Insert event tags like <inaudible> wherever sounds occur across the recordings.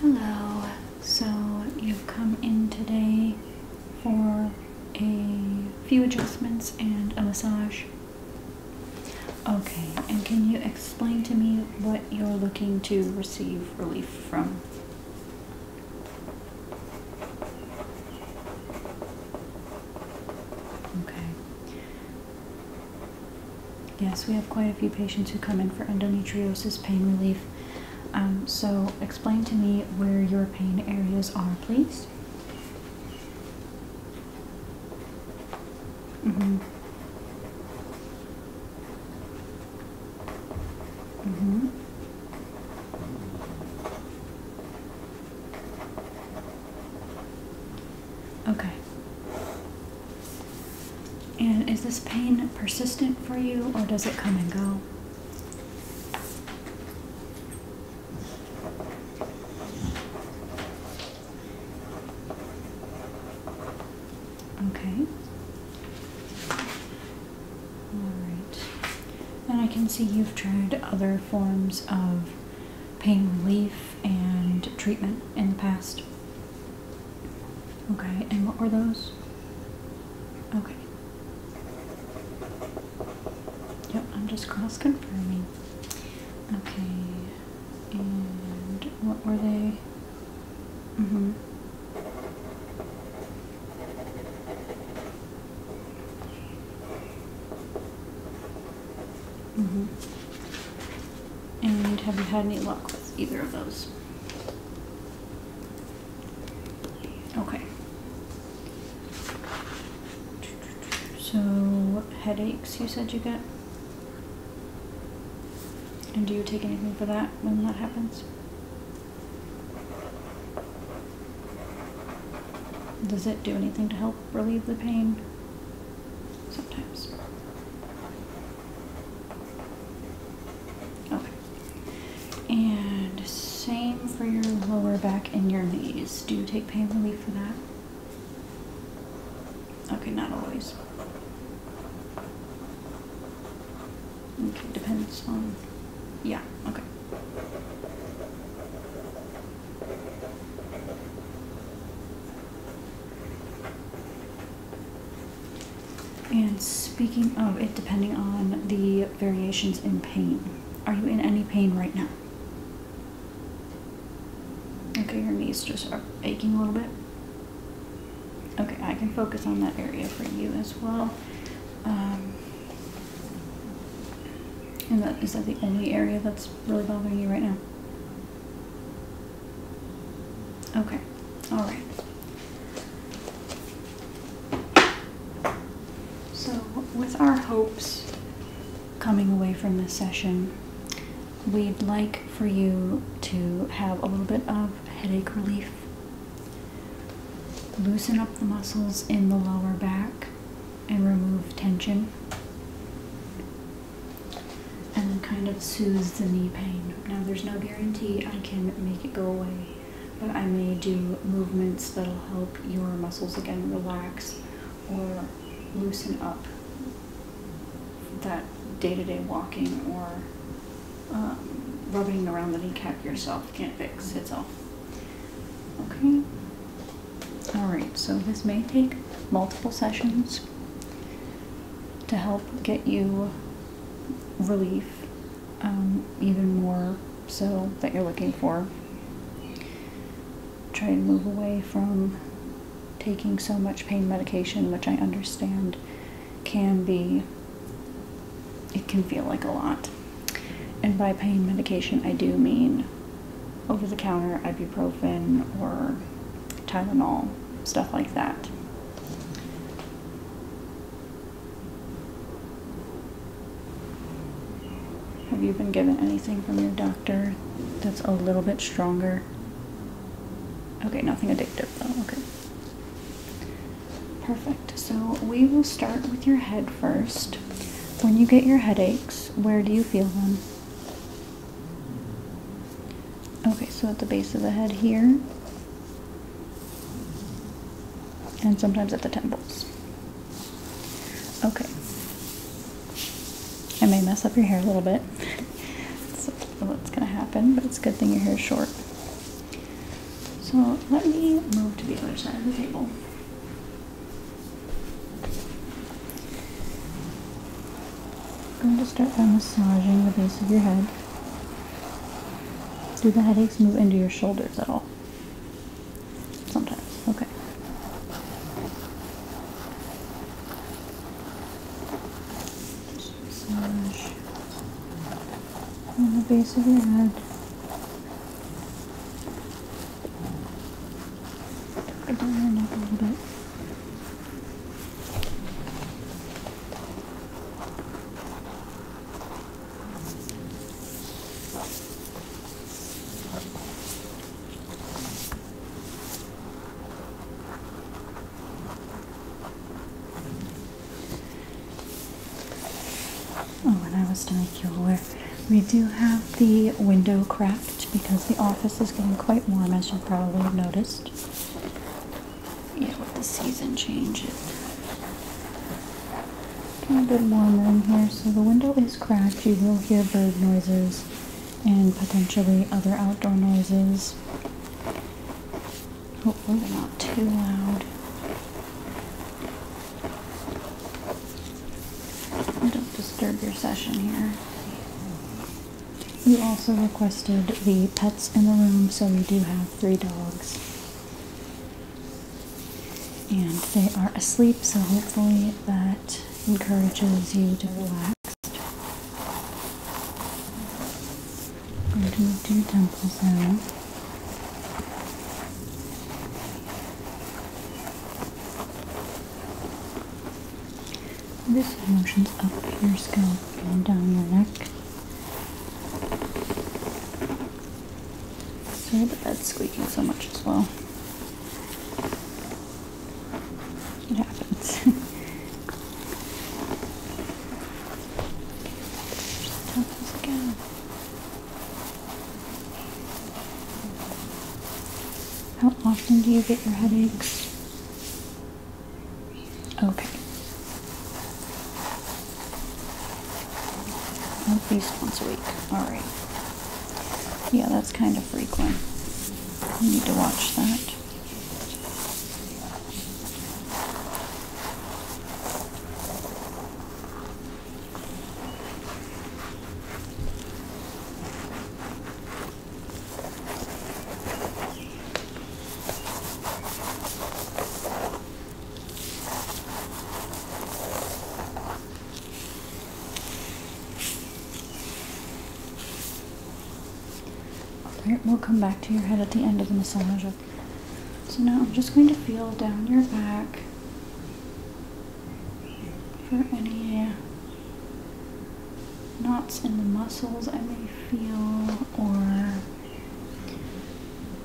Hello, so you've come in today for a few adjustments and a massage. Okay, and can you explain to me what you're looking to receive relief from? Okay. Yes, we have quite a few patients who come in for endometriosis pain relief. Um, so, explain to me where your pain areas are, please. Mm hmm. Mm hmm. Okay. And is this pain persistent for you or does it come and go? Okay. Alright. And I can see you've tried other forms of pain relief and treatment in the past. Okay, and what were those? Okay. Yep, I'm just cross confirming. Okay, and what were they? Mm hmm. Mm hmm. And have you had any luck with either of those? Okay. So, what headaches you said you get? And do you take anything for that when that happens? Does it do anything to help relieve the pain? Sometimes. Okay. And same for your lower back and your knees. Do you take pain relief for that? Okay, not always. Okay, depends on. Yeah, okay. And speaking of it depending on the variations in pain, are you in any pain right now? Okay, your knees just are aching a little bit. Okay, I can focus on that area for you as well. Um, and that, is that the only area that's really bothering you right now? Okay, all right. So, with our hopes coming away from this session, we'd like for you to have a little bit of headache relief, loosen up the muscles in the lower back, and remove tension and kind of soothes the knee pain. Now, there's no guarantee I can make it go away, but I may do movements that'll help your muscles again relax or loosen up that day to day walking or um, rubbing around the kneecap yourself can't fix itself. Okay? Alright, so this may take multiple sessions to help get you relief, um, even more so that you're looking for. Try to move away from taking so much pain medication, which I understand can be, it can feel like a lot. And by pain medication, I do mean over the counter ibuprofen or Tylenol, stuff like that. Have you been given anything from your doctor that's a little bit stronger? Okay, nothing addictive though, okay. Perfect, so we will start with your head first. When you get your headaches, where do you feel them? Okay, so at the base of the head here. And sometimes at the temples. Okay. I may mess up your hair a little bit. That's <laughs> gonna happen, but it's a good thing your hair is short. So let me move to the other side of the table. I'm going to start by massaging the base of your head. Do the headaches move into your shoulders at all? Sometimes. Okay. massage on the base of your head. Turn your neck a little bit. Oh, and I was to make you aware, we do have the window cracked because the office is getting quite warm, as you probably noticed yeah, with the season change, it getting a bit warmer in here. So the window is cracked. You will hear bird noises and potentially other outdoor noises. Hopefully not too loud. don't disturb your session here. You also requested the pets in the room, so we do have three dogs. And they are asleep, so hopefully that encourages you to relax. I'm going to move your temples now. This motions up your scalp and down your neck. Sorry about that squeaking so much as well. It happens. How does it go? How often do you get your headaches? Okay. At least once a week. Alright. Yeah, that's kind of frequent. You need to watch that. Alright, we'll come back to your head at the end of the massage. So now I'm just going to feel down your back for any uh, knots in the muscles I may feel or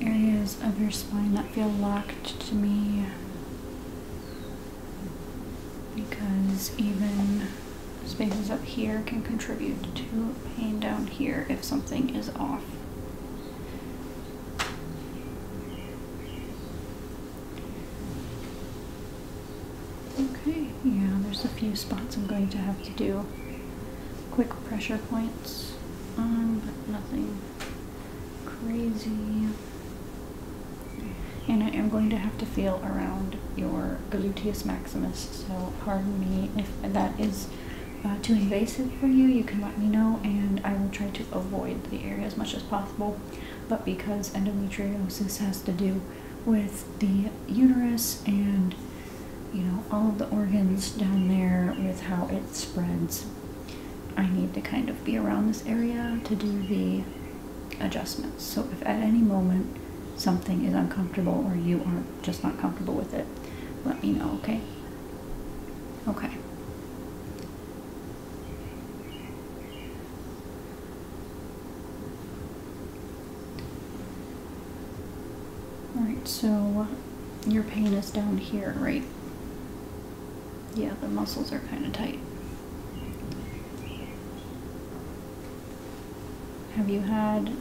areas of your spine that feel locked to me because even spaces up here can contribute to pain down here if something is off. Okay, yeah, there's a few spots I'm going to have to do quick pressure points but nothing crazy. And I am going to have to feel around your gluteus maximus, so pardon me if that is uh, too invasive for you. You can let me know, and I will try to avoid the area as much as possible. But because endometriosis has to do with the uterus and you know, all the organs down there with how it spreads. I need to kind of be around this area to do the adjustments. So if at any moment something is uncomfortable or you are just not comfortable with it, let me know, okay? Okay. Alright, so your pain is down here, right? Yeah, the muscles are kind of tight. Have you had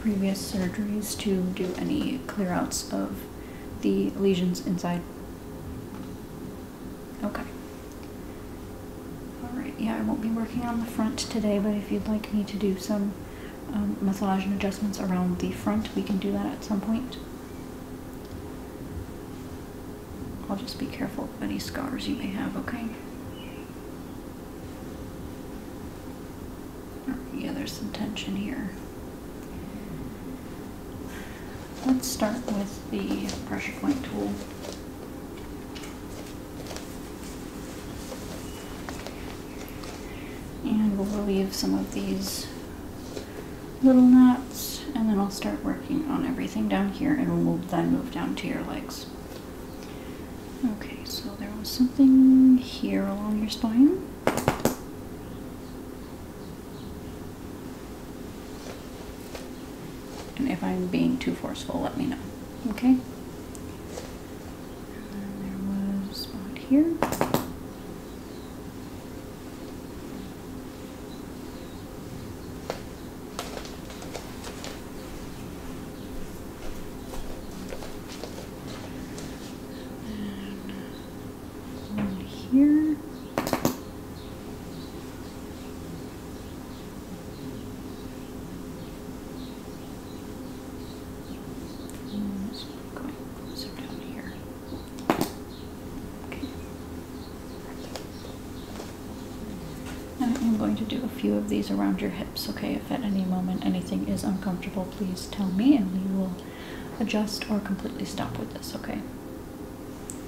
previous surgeries to do any clearouts of the lesions inside? Okay. Alright, yeah, I won't be working on the front today, but if you'd like me to do some um, massage and adjustments around the front. We can do that at some point. I'll just be careful of any scars you may have, okay? Yeah, there's some tension here. Let's start with the pressure point tool. And we'll relieve some of these little knots and then I'll start working on everything down here and we'll then move down to your legs. Okay, so there was something here along your spine. And if I'm being too forceful, let me know. Okay? And there was a spot here. here. I am going to do a few of these around your hips, okay? If at any moment anything is uncomfortable, please tell me and we will adjust or completely stop with this, okay?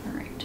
Alright.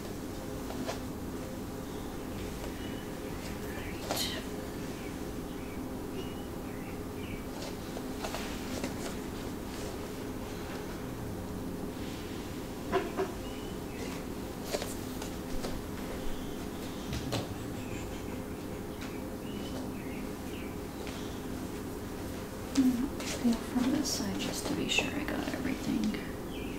Right. Mm, I'll feel from this side just to be sure I got everything.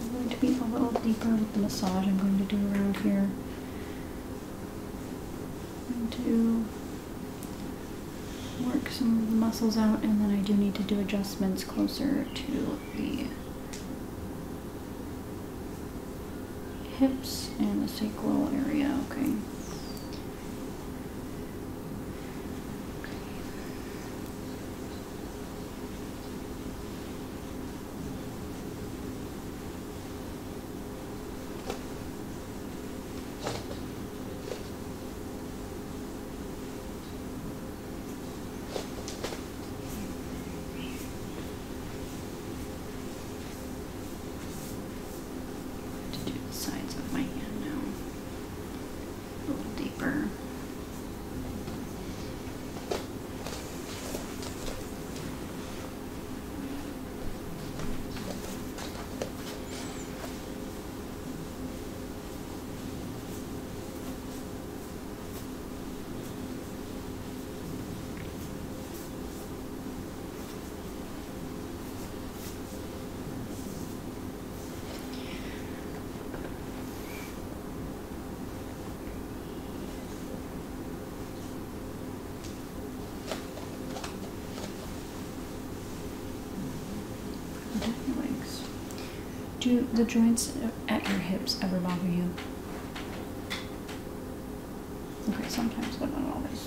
I'm going to be a little deeper with the massage I'm going to do around here. I'm going to work some of the muscles out and then I do need to do adjustments closer to the hips and the sacral area, okay to do the sides of my hand now a little deeper. Do the joints at your hips ever bother you? Okay, sometimes, but not always.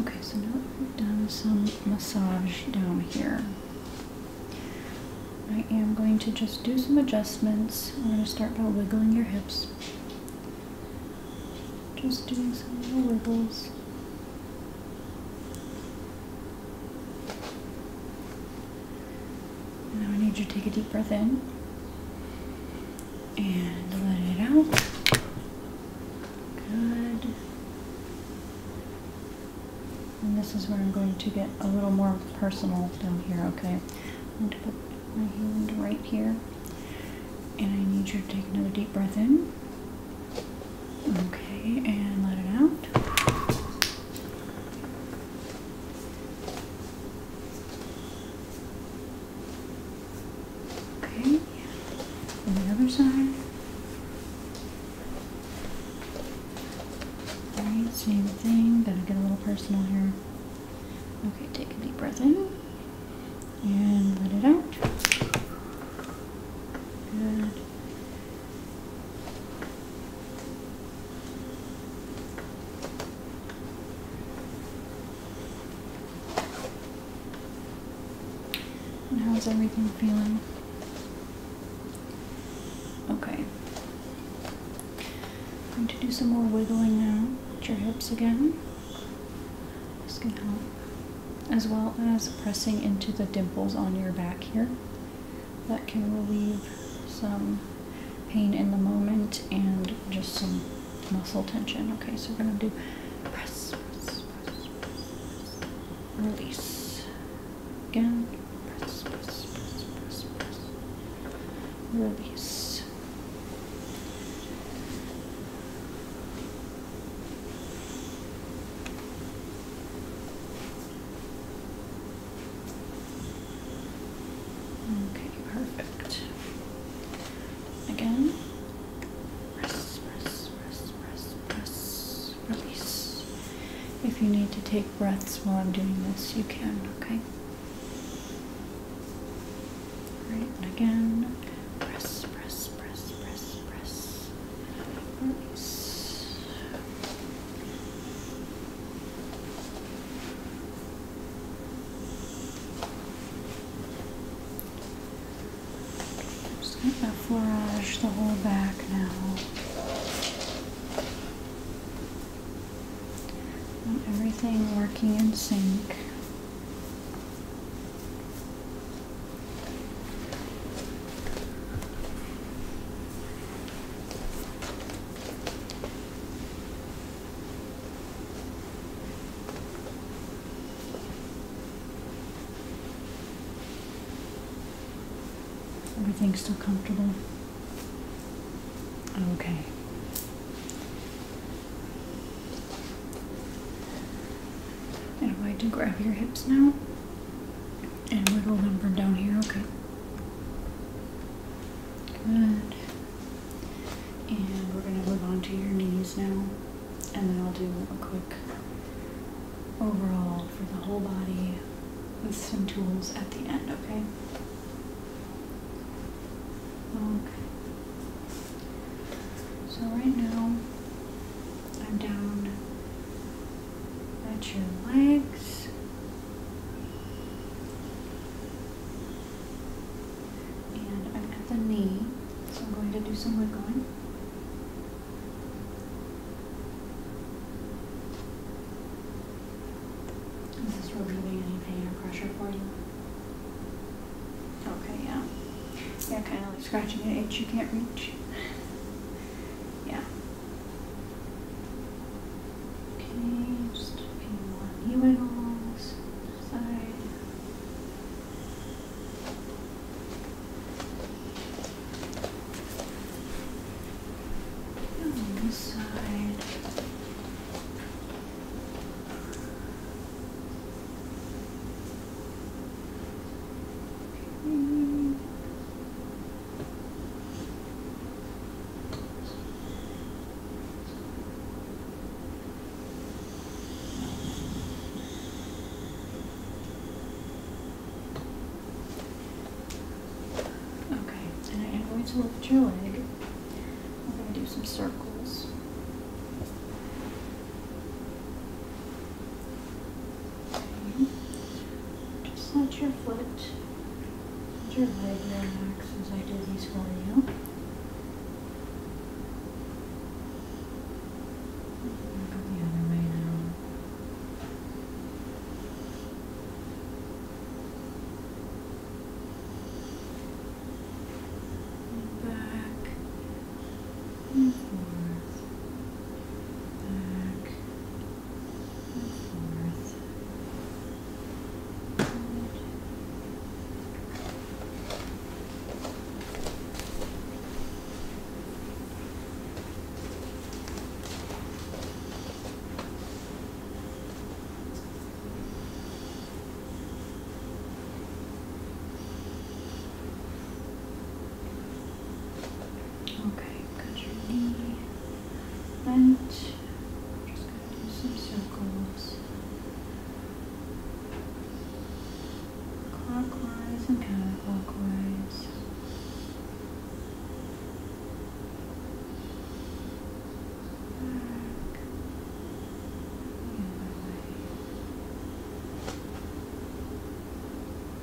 Okay, so now we've done some massage down here. I am going to just do some adjustments. I'm going to start by wiggling your hips. Just doing some little wiggles. Now I need you to take a deep breath in and let it out. Good. And this is where I'm going to get a little more personal down here, okay? I'm going to put my hand right here. And I need you to take another deep breath in. Okay, and let it out. Okay, and the other side. Alright, same thing. Gotta get a little personal here. Okay, take a deep breath in and let it out. Good. how's everything feeling? Okay. I'm going to do some more wiggling now at your hips again. This can help as well as pressing into the dimples on your back here. That can relieve some pain in the moment and just some muscle tension. Okay, so we're going to do press, release. Again, press, press, press, press, release. Okay, perfect. Again, press, press, press, press, press, release. If you need to take breaths while I'm doing this, you can, okay? Right, again, press, press, press, press, press. Oops. just going to flourage the whole back now. Want everything working in sync. Everything's still comfortable. Oh, okay. And I'm going to grab your hips now and wiggle them from down here, okay? Good. And we're going to move on to your knees now. And then I'll do a quick overall for the whole body with some tools at the end, okay? Okay. So right now, I'm down at your legs. And I'm at the knee, so I'm going to do some wiggling. Is this relieving any pain or pressure for you? Okay, yeah. Yeah, kind of like scratching an itch you can't reach. Yeah. Okay, just few more knee wiggles. Side. On this side and I am going to lift your leg. I'm going to do some circles. Just let your foot, let your leg relax as I do these for you. the other way now. Back and forth, back forth. Okay, cut your knee. And just going to do some circles. Clockwise and counterclockwise. Back. The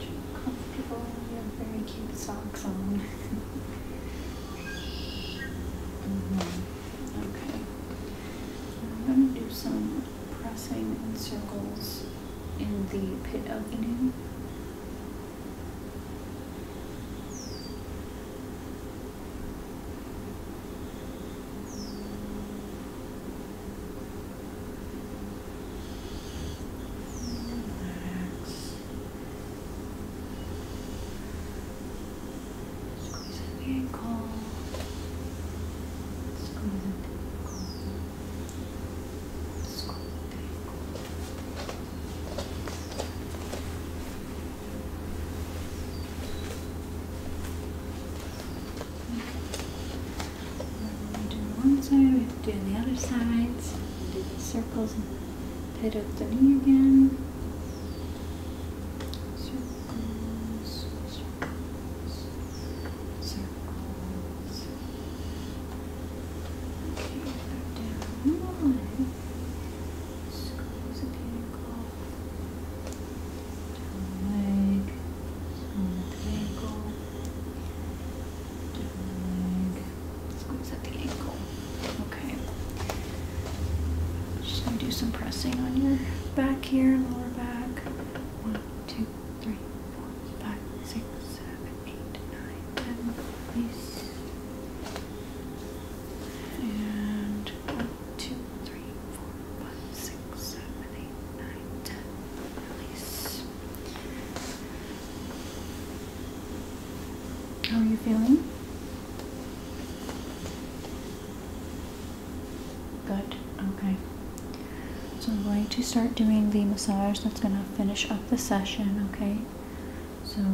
Too comfortable. You have very cute socks on. Okay. I'm going to do some pressing in circles in the pit of the knee. Squeeze in the ankle. Squeeze in the ankle. Squeeze in the we do one side, we have to do the other sides. Do the circles and pivot the knee again. Circles, circles, circles. Okay, go down one. Squeeze the pinnacle. Down leg, down Let's go at the ankle. Okay. Just gonna do some pressing on your back here, lower back. One, two, three, four, five, six, seven, eight, nine, ten. Release. And one, two, three, four, five, six, seven, eight, nine, ten. Release. How are you feeling? Good, okay. So I'm going to start doing the massage that's going to finish up the session, okay? So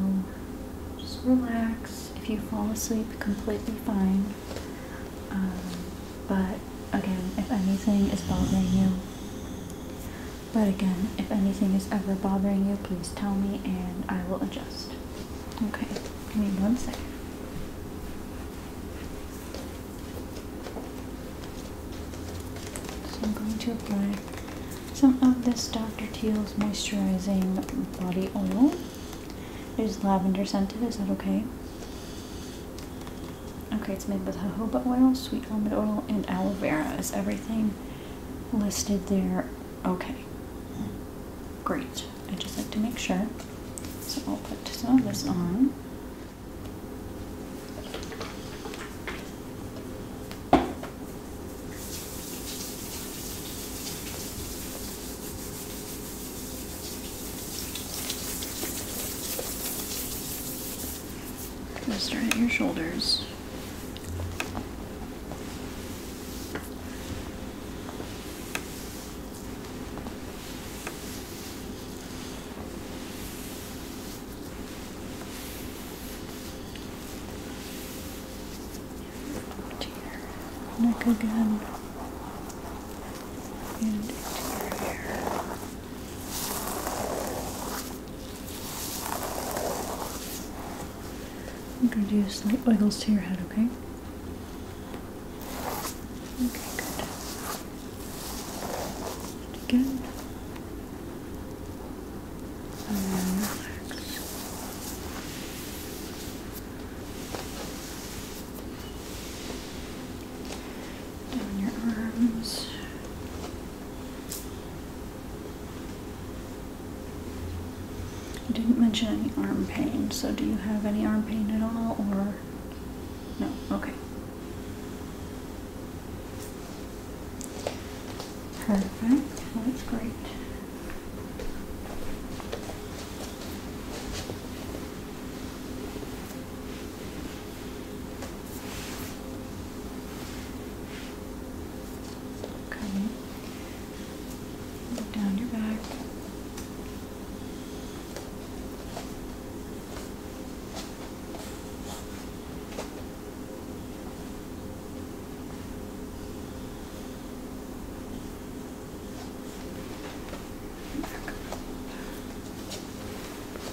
just relax. If you fall asleep, completely fine. Um, but again, if anything is bothering you, but again, if anything is ever bothering you, please tell me and I will adjust. Okay, give me one second. So I'm going to apply some of this Dr. Teal's moisturizing body oil. It is lavender scented, is that okay? Okay, it's made with jojoba oil, sweet almond oil, and aloe vera. Is everything listed there? Okay. Great. I just like to make sure. So I'll put some of this on. Just right at your shoulders. To neck again. And to your I'm going to do slight oils to your head, okay? Okay, good. again. relax. Down your arms. You didn't mention any arm pain, so do you have any arm pain at all or no? Okay. Perfect. That's great. Okay. down your back. Back.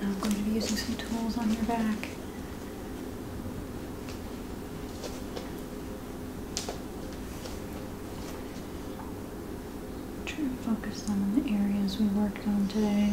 I'm going to be using some tools on your back. Try to focus on the areas we worked on today.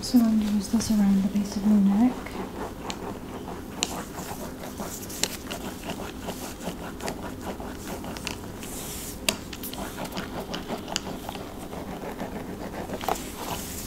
So I'm going to use this around the base of my neck.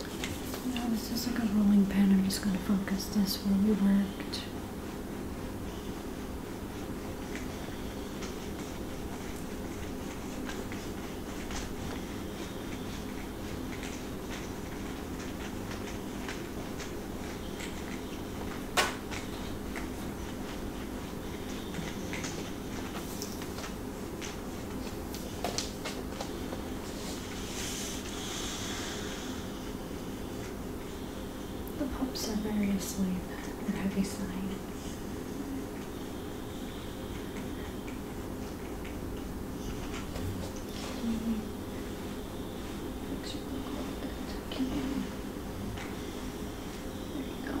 Now this is like a rolling pin. I'm just going to focus this where we worked. The pups are very asleep and heavy sighing. There you go.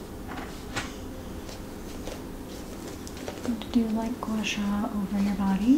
And to do light gua sha over your body.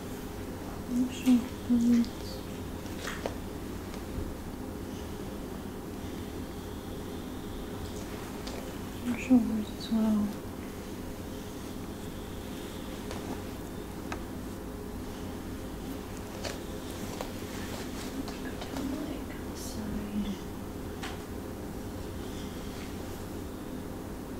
I Sure Your shoulders as well. Side.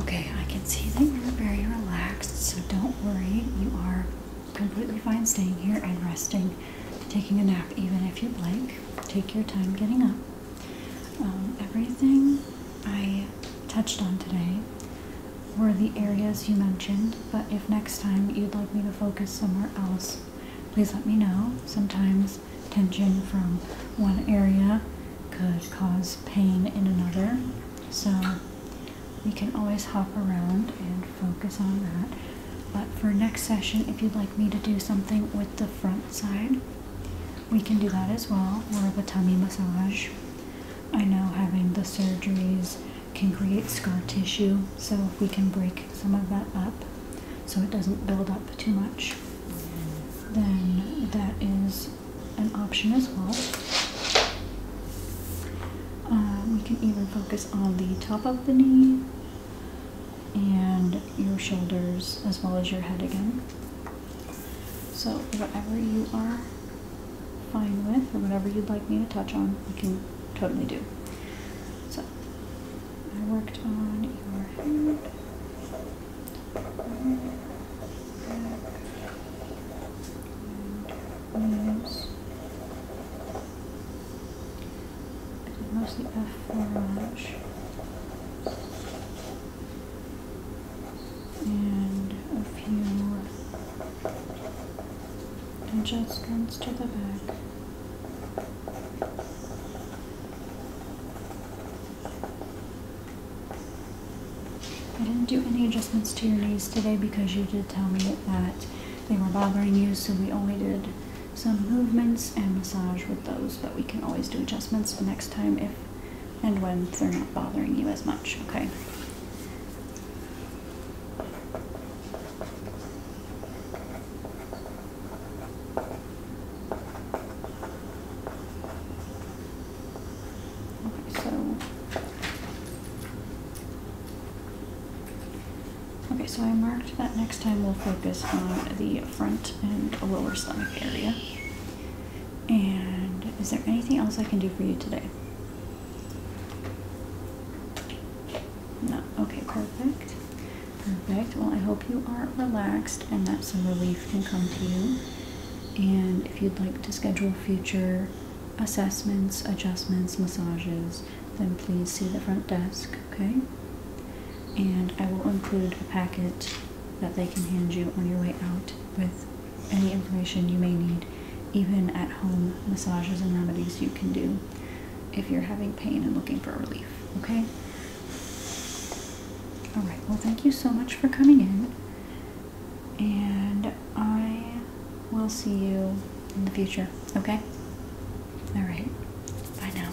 Okay, I can see that you're very relaxed, so don't worry. You are completely fine staying here and resting, taking a nap even if you like. Take your time getting up. Um, everything I touched on today were the areas you mentioned, but if next time you'd like me to focus somewhere else, please let me know. Sometimes tension from one area could cause pain in another, so we can always hop around and focus on that. But for next session, if you'd like me to do something with the front side, we can do that as well, or a tummy massage. I know having the surgeries can create scar tissue, so we can break some of that up so it doesn't build up too much, then that is an option as well. Uh, we can even focus on the top of the knee and your shoulders as well as your head again. So, whatever you are fine with, or whatever you'd like me to touch on, I can totally do. So, I worked on your head. And mostly a forearm and a few adjustments to the back. I didn't do any adjustments to your knees today because you did tell me that they were bothering you, so we only did some movements and massage with those, but we can always do adjustments the next time if and when they're not bothering you as much, okay? Okay, so Okay, so I marked that next time we'll focus on the front and lower stomach area. And is there anything else I can do for you today? No. Okay, perfect. Perfect. Well, I hope you are relaxed and that some relief can come to you. And if you'd like to schedule future assessments, adjustments, massages, then please see the front desk, okay? And I will include a packet that they can hand you on your way out with any information you may need, even at home massages and remedies you can do if you're having pain and looking for relief. Okay? Alright, well, thank you so much for coming in, and I will see you in the future. Okay? Alright, bye now.